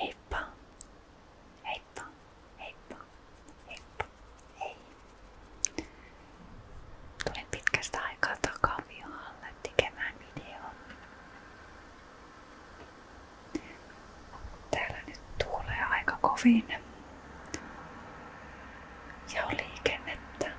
Heippa. Heippa. Heippa. Heippa. Hei. Tulin pitkästä aikaa takaviolle tekemään videon. Täällä nyt tuulee aika kovin. Ja liikennettä.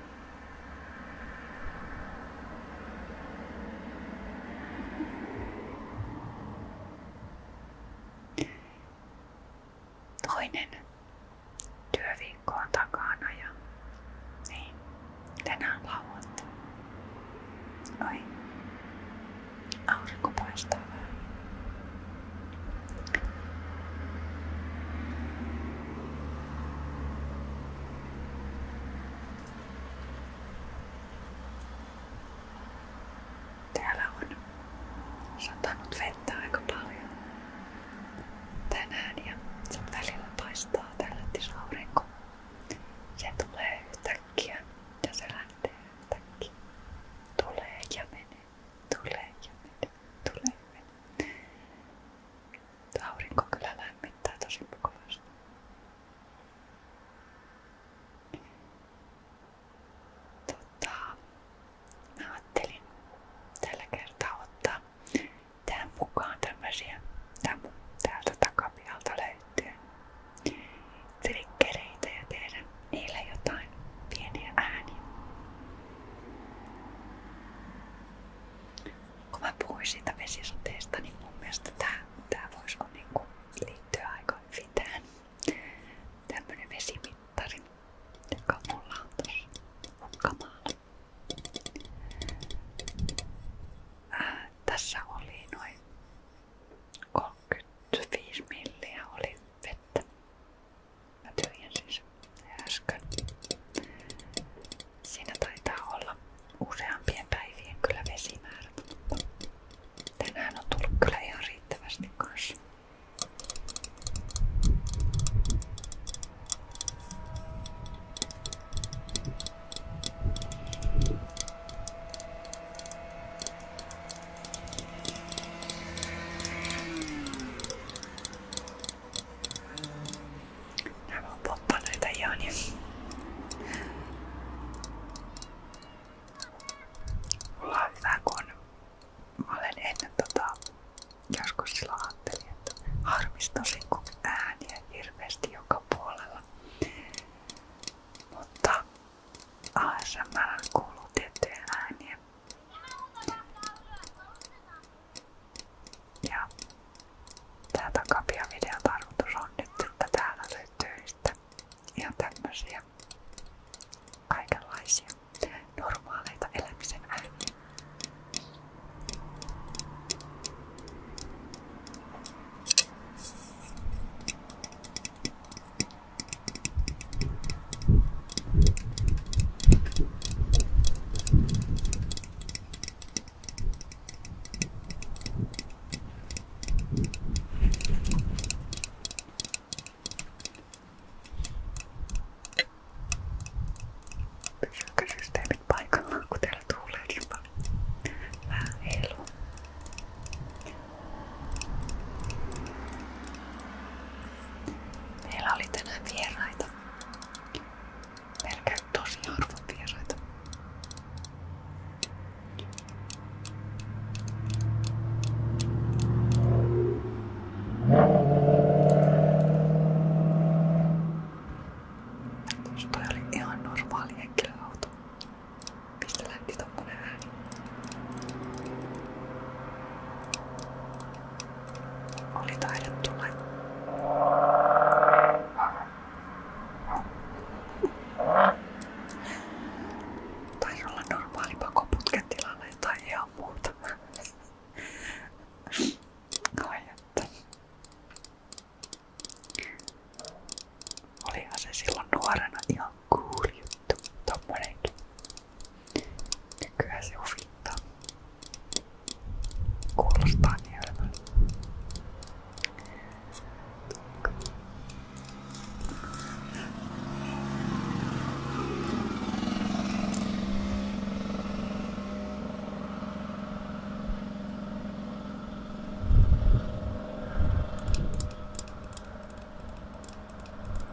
Toinen työviikko on takana ja niin, tänään lauantai. Oi, aurinko paistaa vähän. Täällä on satanut vettä aika paljon tänään ja sen välillä paistaa tällä aurinko. Se tulee yhtäkkiä ja se lähtee yhtäkkiä. Tulee ja menee, tulee ja menee, tulee ja menee. Aurinko kyllä lämmittää tosi mukavasti. Tota, mä ajattelin tällä kertaa ottaa tähän mukaan tämmösiä tää mun täältä takapialta löytyy trikkereitä ja tehdä niillä jotain pieniä ääniä kun mä puhuin siitä vesisateesta, niin mun mielestä tää, tää voisi niinku liittyä aika hyvin tähän. Tämmönen vesimittari, joka mulla on tossa hukkamaalla. Äh, tässä oli noin 35 milliä oli vettä. Mä tyhjensin sen siis äsken. Siinä taitaa olla useampien päivien kyllä vesimäärät. Tänään on tullut kyllä ihan riittävästi kanssa. Nämä on poppanoita ihan. Niin. Ja... Mulla olen ennen tota, joskus sillä ajattelin, ääniä hirveästi Mutta ASMR kuuluu ääniä. Ja tää takapia-videon tarkoitus on nyt, että täällä löytyy sitten ihan tämmösiä kaikenlaisia normaaleita elämisen ääniä. Pysyykö systeemit paikallaan, kun täällä tuulee niin paljon? Vähän heiluu. Meillä oli tänään vieraita. Meillä käy tosi harvoin vieraita. Jos toi oli ihan normaali henkilöauto, mistä lähti tommonen ääni? Oli taidettu laittaa. Tai olla normaali pakoputken tilanne tai ihan muuta. No että. Olihan se silloin nuorena ihan cool juttu, tommonenkin. Nykyään se huvittaa. Kuulostaa niin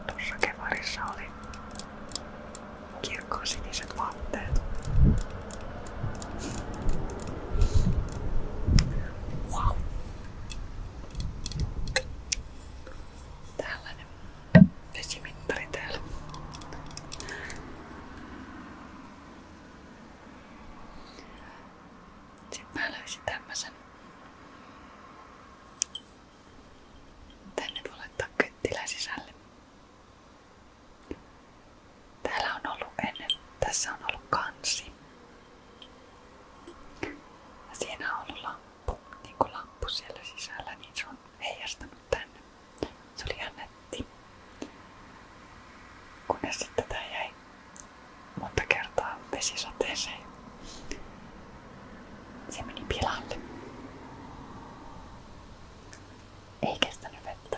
Tuossa kevarissa oli kirkkosiniset vaatteet. Wow. Tällainen vesimittari täällä. Sitten mä löysin tämmösen. Tänne voi laittaa kyttilä sisälle. Täällä on ollut ennen, tässä on ollut kansi. Ja siinä on ollut lamppu, niin kuin lamppu siellä sisällä, niin se on heijastanut tänne. Se oli ihan netti. Kunnes sitten tää jäi monta kertaa vesisateeseen. Se meni pilalle. Ei kestänyt vettä.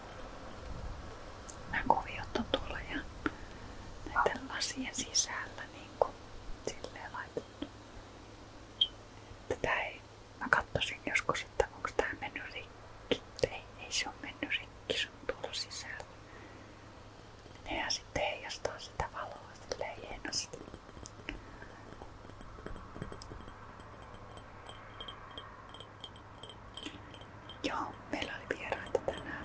Nämä kuviot on tuolla ja näiden lasien sisällä niin silleen laitettu. Tätä ei, mä katsoisin joskus, että onko tää mennyt rikki. Ei, ei se on mennyt rikki, se on tuolla sisällä. Nehän sitten heijastaa sitä valoa silleen hienosti. Joo, meillä oli vieraita tänään.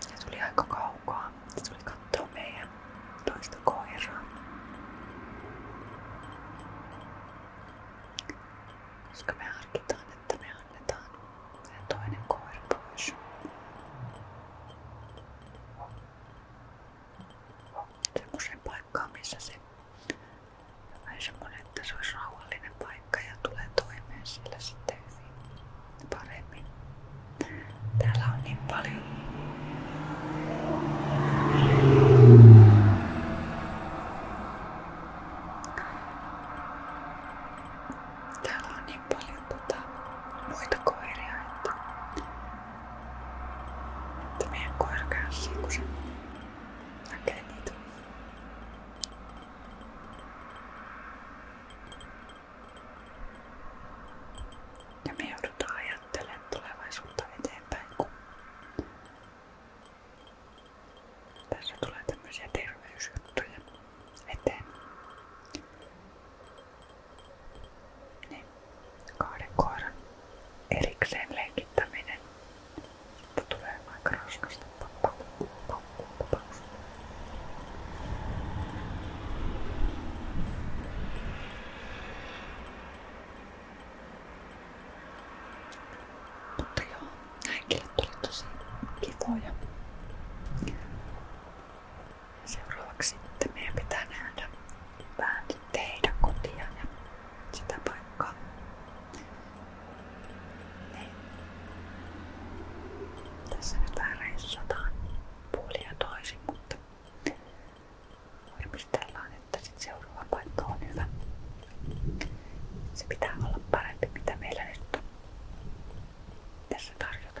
Se tuli aika kaukaa. Se tuli katsoa meidän toista koiraa. Koska me harkitaan, että me annetaan toinen koira pois semmoiseen paikkaan, missä se vähän semmoinen, että se olisi rauhallinen paikka ja tulee toimeen siellä sitten hyvin paremmin. Täällä on niin paljon Täällä on niin paljon tota, muita koiria, että mutta meidän koira kärsii, kun se näkee niitä. Ja me joudutaan ajattelemaan tulevaisuutta eteenpäin, kun tässä tulee tämmöisiä terveysjuttuja eteen. Niin. kahden koiran erikseen lenkittäminen. Mutta tulee aika raskasta. Mutta joo, näinkin tuli tosi kivoja seuraavaksi että meidän pitää nähdä vähän teidän kotia ja sitä paikkaa. Niin. Tässä nyt vähän reissataan puoli ja toisin, mutta varmistellaan, että sit seuraava paikka on hyvä. Se pitää olla parempi, mitä meillä nyt on tässä tarjota.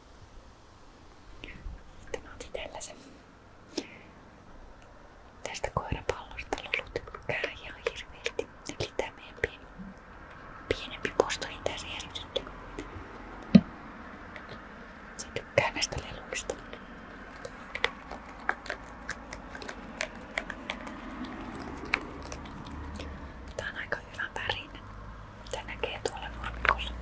Sitten mä otin tällaisen tästä koirapallosta lolutykkää ihan hirveästi. Eli tää meidän pieni, pienempi postoni niin tässä järjestetty. Se tykkää näistä leluista. Tää on aika hyvä värin. Se näkee tuolla nurmikossa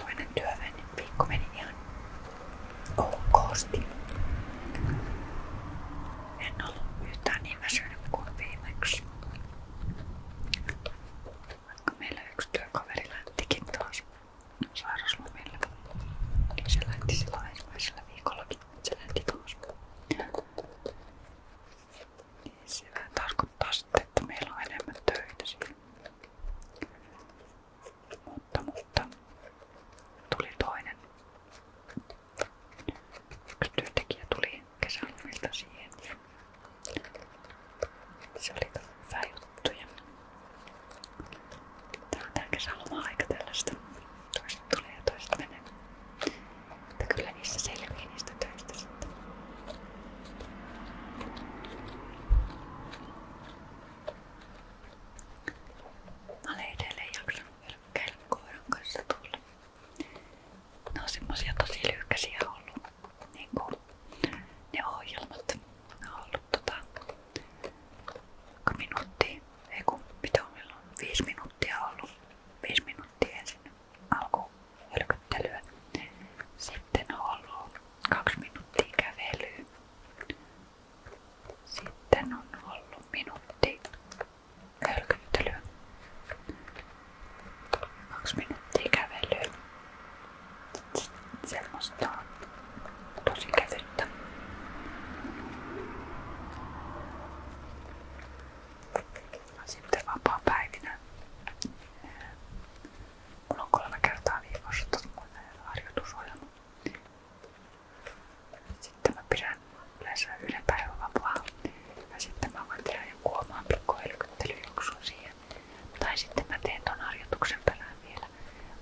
toinen työveni niin viikko meni ihan okosti. En ollut yhtään niin väsynyt kuin viimeksi. Vaikka meillä yksi työkaveri lähtikin taas sairauslomille, niin se lähti silloin ensimmäisellä viikollakin, se lähti taas. Niin se tarkoittaa sitten, että meillä on enemmän töitä siinä. Mutta, mutta tuli toinen. Yksi työntekijä tuli kesälomilta siihen ja se oli hyvä juttu. Ja Tää on tää kesäloma-aika tällaista. Toiset tulee ja toiset menee. Mutta kyllä niissä selviää niistä töistä sitten. Mä olen edelleen jaksanut hölkkäillä koiran kanssa tuolla. Ne on semmosia tosi lyhkäisiä ollut. Niinku ne ohjelmat. Ne on ollut tota minuuttia. Ei kun mitä on meillä on? Viisi minuuttia ollut. Viisi minuuttia ensin alkuun hölköttelyä. Sitten on ollut kaksi minuuttia kävelyä. Sitten on ollut minuutti hölkyttelyä. Kaksi minuuttia kävelyä. Semmosta tosi kävyttä. Sitten vapaa päivinä. Mulla on kolme kertaa viikossa harjoitusohjelma sitten mä pidän yleensä yhden päivän vapaa. Ja sitten mä voin tehdä joku oman pikku siihen. Tai sitten mä teen ton harjoituksen perään vielä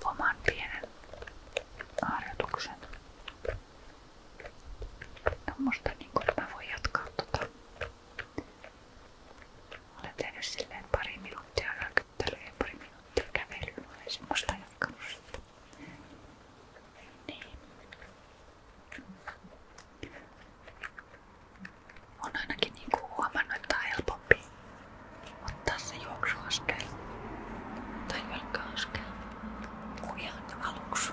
oman pienen harjoituksen. Tommosta niinku, että mä voin jatkaa tota. Olen tehnyt silleen pari minuuttia aika höttelee pari minuuttia kävelyä ja semmoista jatkanut sitten. Niin. On ainakin niinku huomannut, että on helpompi ottaa se juoksuaskel tai jalka-askel kuin ihan aluksi.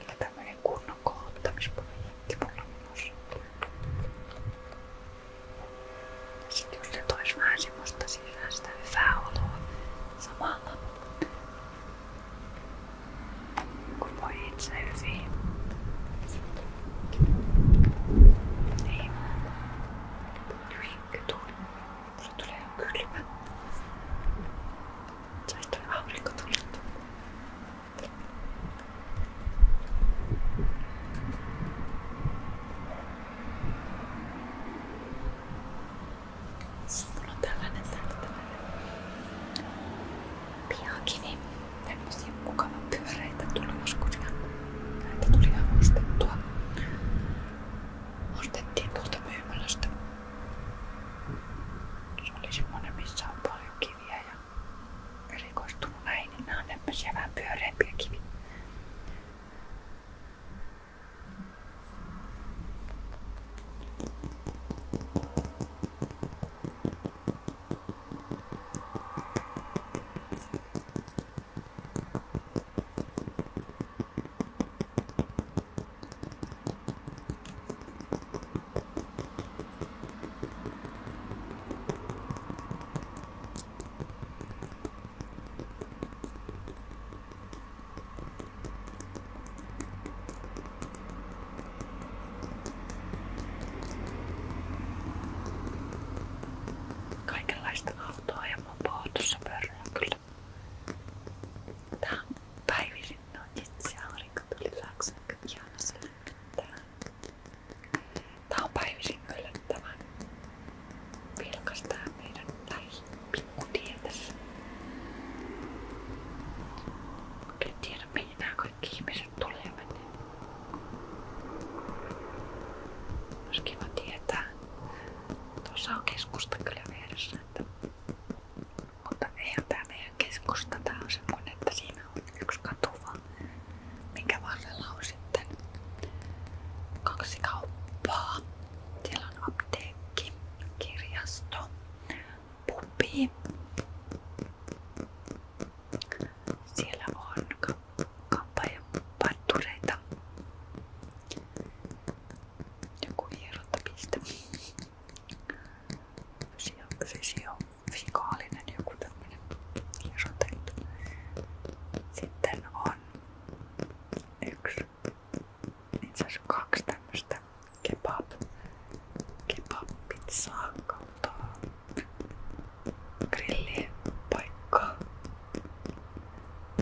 Kyllä tämmönen kunnon kohottamisprojekti mulla menossa. Sitten jos se tois vähän semmoista sisäistä hyvää oloa samalla, kun voi itse hyvin. Niin. Drink, Mulla tulee kylmä. Saista aurinko tuli. Sitten mulla on tällainen täällä tällainen pihakivi. Tämmösiä mukavan pyöreitä tuli joskus ja näitä tuli ihan ostettua ostettiin tuolta myymälästä. Se oli semmonen, missä on paljon kiviä ja erikoistunut näihin, niin nämä on tämmöisiä vähän pyöreämpiä kiviä. Kaikenlaista autoa ja mopoa tuossa pörrää kyllä. Tää on päivisin nojitsi, aurinko tuli taakse, ihana se lämmittää. Tää on päivisin yllättävän vilkas tää meidän lähipikkutiä tässä. En tiedä mihin nämä kaikki ihmiset tulee ja menee. Olisi kiva tietää, Tuossa on keskusta kyllä vieressä, että... mutta eihän tää meidän keskusta, tää on semmonen, että siinä on yksi katu vaan, minkä varrella on sitten kaksi kauppaa. Siellä on apteekki, kirjasto, pubi. Siellä on kampaajaparttureita. Joku hierontapiste. Fysio, fysio, fysikaalinen joku tämmöinen hierontajuttu. Sitten on yksi, itse asiassa kaksi tämmöistä kebab, kebab-pizzaa kautta grillipaikkaa.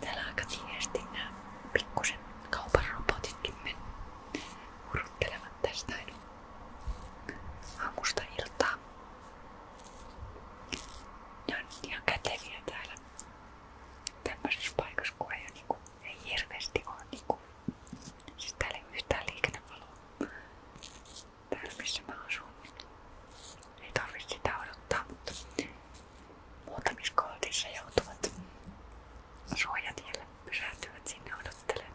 Täällä aika tiheesti nämä pikkusen kaupan robotitkin aamusta iltaa. Ne on käteviä täällä tämmöisessä paikassa, kun ei, niinku, ei hirveästi ole niinku, siis täällä ei ole yhtään liikennevaloa täällä missä mä asun ei tarvitse sitä odottaa, mutta muutamissa kohdissa joutuvat suojatielle pysähtyvät sinne odottelemaan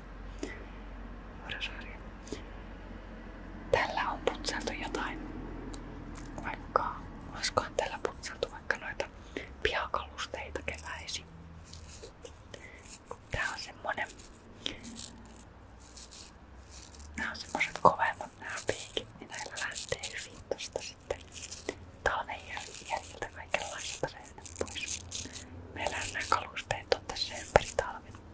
sarja. Horror-sarja. Tällä on putseltu jotain. Vaikka, olisikohan tällä putseltu vaikka noita pihakalusteita keväisin. Tää on semmonen... Nää on semmoset kovemmat nää piikit, niin näillä lähtee hyvin tosta sitten talven jäljiltä kaikenlaista löydä pois. Meillä nämä kalusteet on tässä ympäri talven.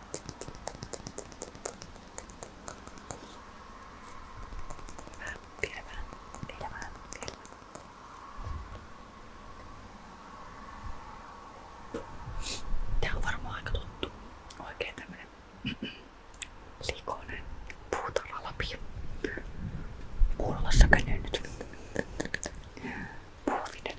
Hyvä, piirretään elämään kello. Tää on varmaan aika tuttu. Oikein tämmönen likoinen puutarhalapio. Kuulolla säkönyn nyt. Puuvinen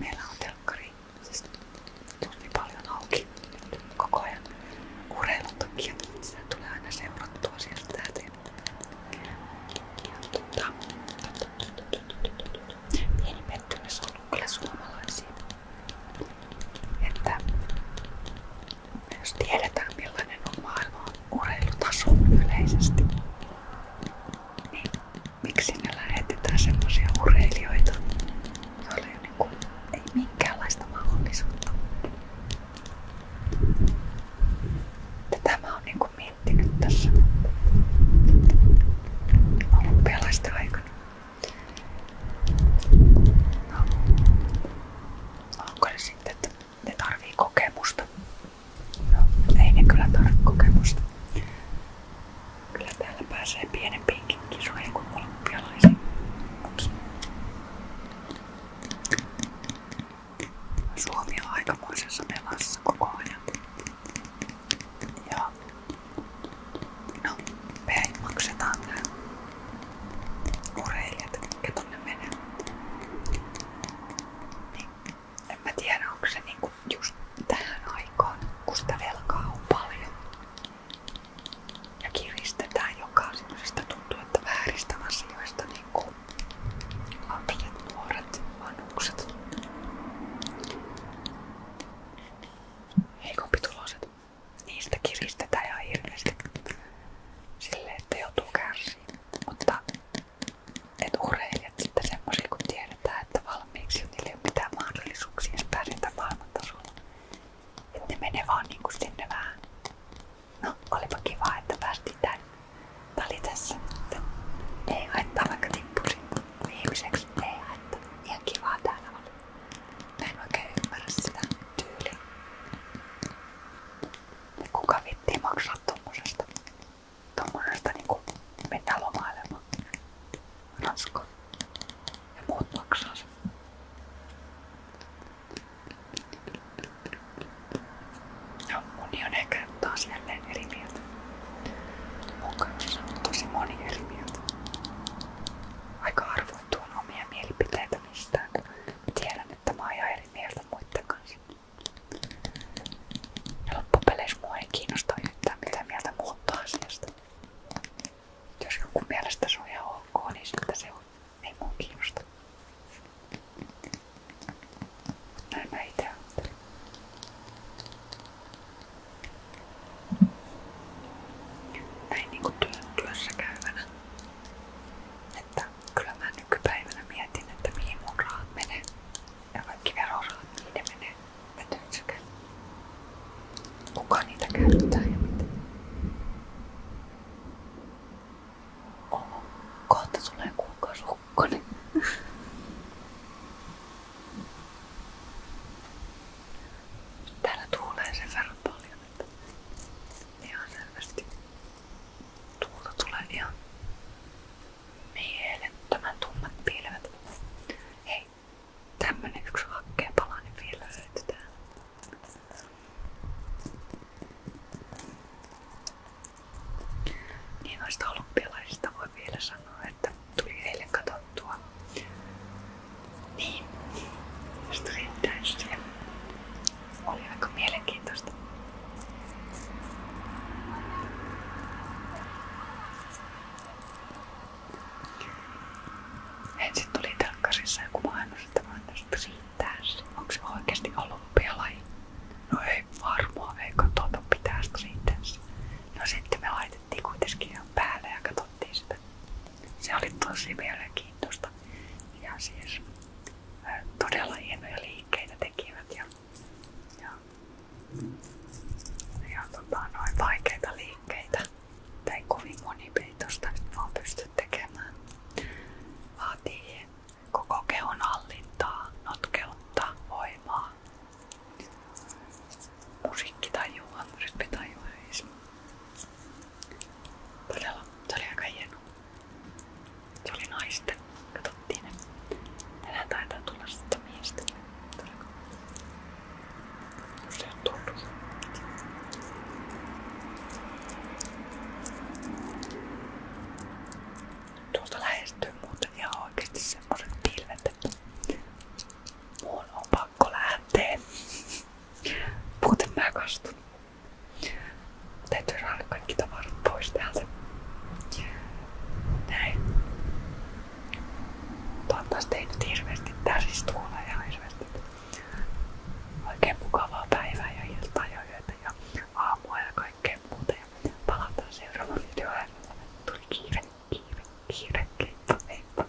Meillä on telkkari siis tosi niin paljon auki koko ajan urheilun takia. Sitä tulee aina seurattua sieltä täältä. Tota, pieni pettymys on ollut kyllä suomalaisiin. Että jos tiedetään millainen on maailman urheilutaso yleisesti, miksi ne lähetetään semmoisia urheilijoita, joilla ei, niinku, ei minkäänlaista mahdollisuutta. Tätä mä oon niinku miettinyt tässä olympialaisten aikana. No, onko se sitten, että ne tarvii kokemusta No, ei ne kyllä tarvitse kokemusta. Kyllä täällä pääsee pienempiinkin kisoihin kuin olympialaisiin. Suomi on aikamoisessa melassa koko ajan. Ja no, me ei maksetaan nämä urheilijat, ketkä tonne menee. Niin en mä tiedä onko se niinku just tähän aikaan, kun sitä velkaa on paljon ja kiristetään joka semmoisesta tuntuu, että vääristä asioista niinku lapset, nuoret, vanhukset heikompituloiset niistä kiristetään ja hirveästi sille, että joutuu kärsiin mutta että urheilijat sitten semmoisia, kun tiedetään, että valmiiksi jo niille ei ole mitään mahdollisuuksia pärjätä maailmantasolla. Että ne menee vaan niinku sinne vähän. No, olipa kiva, että päästiin tänne. Tää oli tässä. Ei haittaa vaikka tippusin viimeiseksi. Ei haittaa. Ihan kivaa täällä oli. Mä en oikein ymmärrä sitä tyyliä. Kuka vittii maksaa tommosesta? tuommoisesta niinku mennään lomailemaan Ranskaan ja muut maksaa sen. No, moni on ehkä taas jälleen eri mieltä. Mun kanssa on tosi moni eri mieltä. Aika harvoin tuon omia mielipiteitä mistään. Tiedän, että mä oon ihan eri mieltä muiden kanssa. Ja loppupeleissä mua ei kiinnosta yhtään mitä mieltä muuttaa asiasta. Jos joku mielestä se on ihan ok, niin sitten se on. Ei mua kiinnosta. Näin mä itse ajattelen. Näin niinku työ, työssä käyvänä. Että kyllä mä nykypäivänä mietin, että mihin mun rahat menee ja kaikki verorahat, niiden menee vetönsykään. Kuka niitä käyttää ja miten? Oho, kohta tulee kuukausi hukkonen. Täällä tuulee sen verran paljon, että ihan selvästi tuulta tulee ihan Mielettömän tummat pilvet. Hei, tämmönen yksi hakkeen palanen vielä löytyi täällä. Niin noista olympialaisista voi vielä sanoa, että tuli eilen katsottua niin, street dancea. Oli aika mielenkiintoista. Ensin tuli telkkarissa joku mainos, että mainokset riittää. Onko se No ei varmaan, ei katsota pitää Streetdance. No sitten me laitettiin kuitenkin päälle ja katsottiin Se oli tosi mielenkiintoista. Ja siis todella hienoja liikkeitä tekivät ja ja, ja tota, noin vaikeita liikkeitä. Tai kovin monipeitosta nyt vaan pysty tekemään. Vaatii koko kehon hallintaa, notkeutta, voimaa. Musiikkitajua, rytmitajua. Todella, todella aika hieno. Se oli naisten. Katsottiin ne. Enää taitaa tulla sitä miestä. Se on tullut. Tuolta lähestyy muuten ihan oikeesti semmoset pilvet, että mun on pakko lähteä. Muuten mä kastun. Täytyy saada kaikki tavarat pois täältä. Näin. Toivottavasti ei nyt hirveästi täristuulla ja hirveästi. Oikein mukavaa päivää ja iltaa ja yötä ja aamua ja kaikkea muuta. Ja palataan seuraavaan videoon. Tuli kiire, kiire, kiire, leipä, leipä.